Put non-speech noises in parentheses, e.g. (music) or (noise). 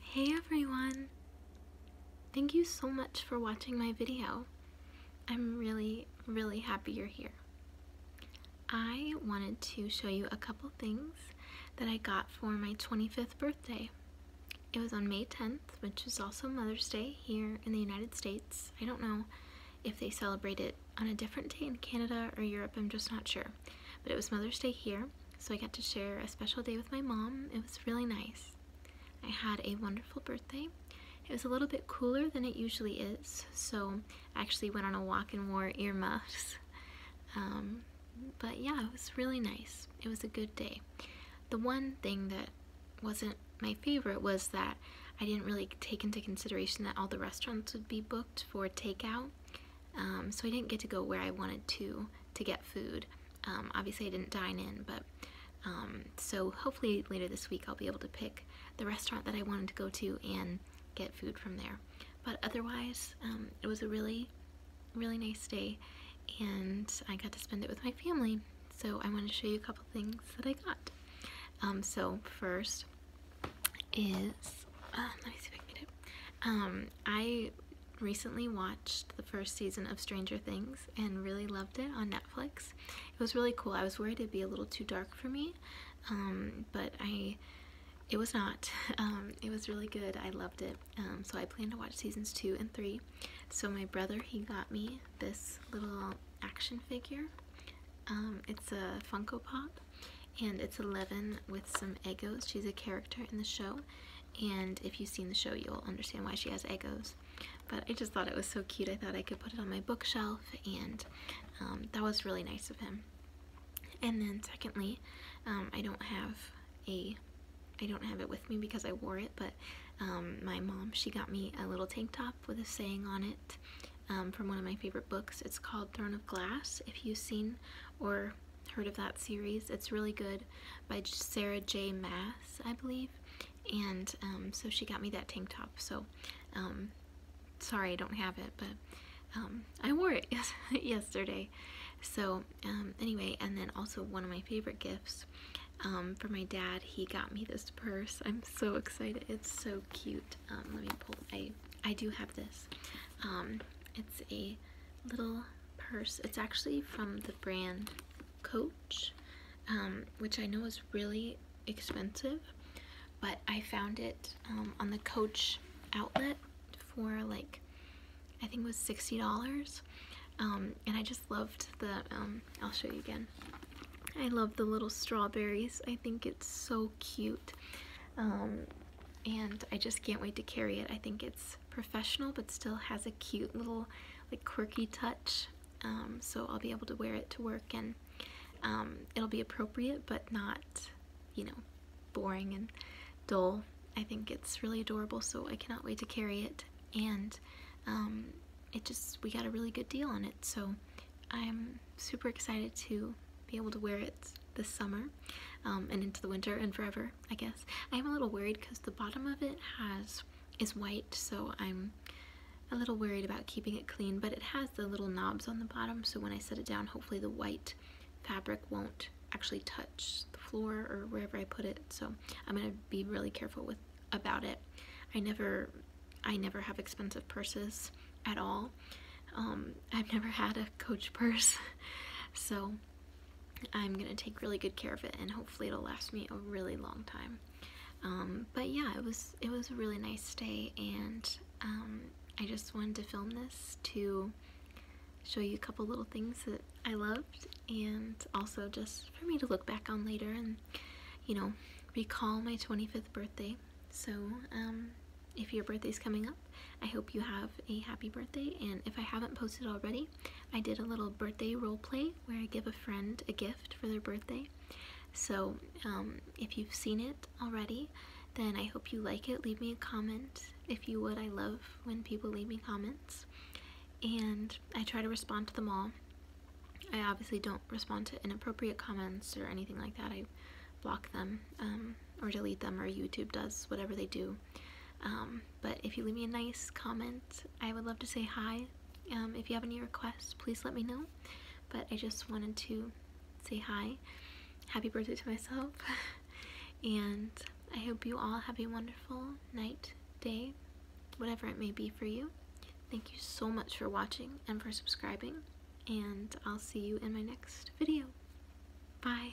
Hey everyone! Thank you so much for watching my video. I'm really, really happy you're here. I wanted to show you a couple things that I got for my 25th birthday. It was on May 10th, which is also Mother's Day here in the United States. I don't know if they celebrate it on a different day in Canada or Europe, I'm just not sure. But it was Mother's Day here, so I got to share a special day with my mom. It was really nice. I had a wonderful birthday. It was a little bit cooler than it usually is, so I actually went on a walk and wore earmuffs. (laughs) Um, but yeah, it was really nice. It was a good day. The one thing that wasn't my favorite was that I didn't really take into consideration that all the restaurants would be booked for takeout. Um, so I didn't get to go where I wanted to to get food. Um, obviously I didn't dine in, but um, so hopefully later this week I'll be able to pick the restaurant that I wanted to go to and get food from there. But otherwise, it was a really, really nice day and I got to spend it with my family. So I want to show you a couple things that I got. so first is, uh, let me see if I get it. I recently watched the first season of Stranger Things and really loved it on Netflix. It was really cool. I was worried it'd be a little too dark for me, um, but I it was not. (laughs) Um, it was really good. I loved it. Um, so I plan to watch seasons two and three. So my brother, he got me this little action figure. it's a Funko Pop and it's 11 with some egos. She's a character in the show. And if you've seen the show, you'll understand why she has egos. But I just thought it was so cute. I thought I could put it on my bookshelf, and um, that was really nice of him. And then secondly, um, I don't have a, I don't have it with me because I wore it, but um, my mom, she got me a little tank top with a saying on it from one of my favorite books. It's called Throne of Glass, if you've seen or heard of that series. It's really good by Sarah J. Mass, I believe. And um, so she got me that tank top. So um, sorry I don't have it, but um, I wore it (laughs) yesterday. So anyway, and then also one of my favorite gifts for my dad, he got me this purse. I'm so excited. It's so cute. let me pull. I I do have this. it's a little purse. It's actually from the brand Coach, um, which I know is really expensive, but I found it um, on the Coach outlet for like, I think it was $60. Um, and I just loved the, I'll show you again. I love the little strawberries. I think it's so cute and I just can't wait to carry it. I think it's professional but still has a cute little like quirky touch um, so I'll be able to wear it to work and um, it'll be appropriate but not you know boring and dull. I think it's really adorable so I cannot wait to carry it and um, it just we got a really good deal on it so I'm super excited to be able to wear it this summer um, and into the winter and forever, I guess. I am a little worried because the bottom of it has is white, so I'm a little worried about keeping it clean, but it has the little knobs on the bottom, so when I set it down, hopefully the white fabric won't actually touch the floor or wherever I put it, so I'm going to be really careful with about it. I never, I never have expensive purses at all. Um, I've (laughs) never had a Coach purse, (laughs) so I'm gonna take really good care of it and hopefully it'll last me a really long time. Um, but yeah, it was it was a really nice day, and um, I just wanted to film this to show you a couple little things that I loved and also just for me to look back on later and you know recall my 25th birthday so um, if your birthday's coming up I hope you have a happy birthday and if I haven't posted already I did a little birthday role play where I give a friend a gift for their birthday. So um, if you've seen it already, then I hope you like it. Leave me a comment if you would. I love when people leave me comments. And I try to respond to them all. I obviously don't respond to inappropriate comments or anything like that. I block them um, or delete them or YouTube does whatever they do um, but if you leave me a nice comment, I would love to say hi. Um, if you have any requests, please let me know. But I just wanted to say hi. Happy birthday to myself. (laughs) and I hope you all have a wonderful night, day, whatever it may be for you. Thank you so much for watching and for subscribing. And I'll see you in my next video. Bye.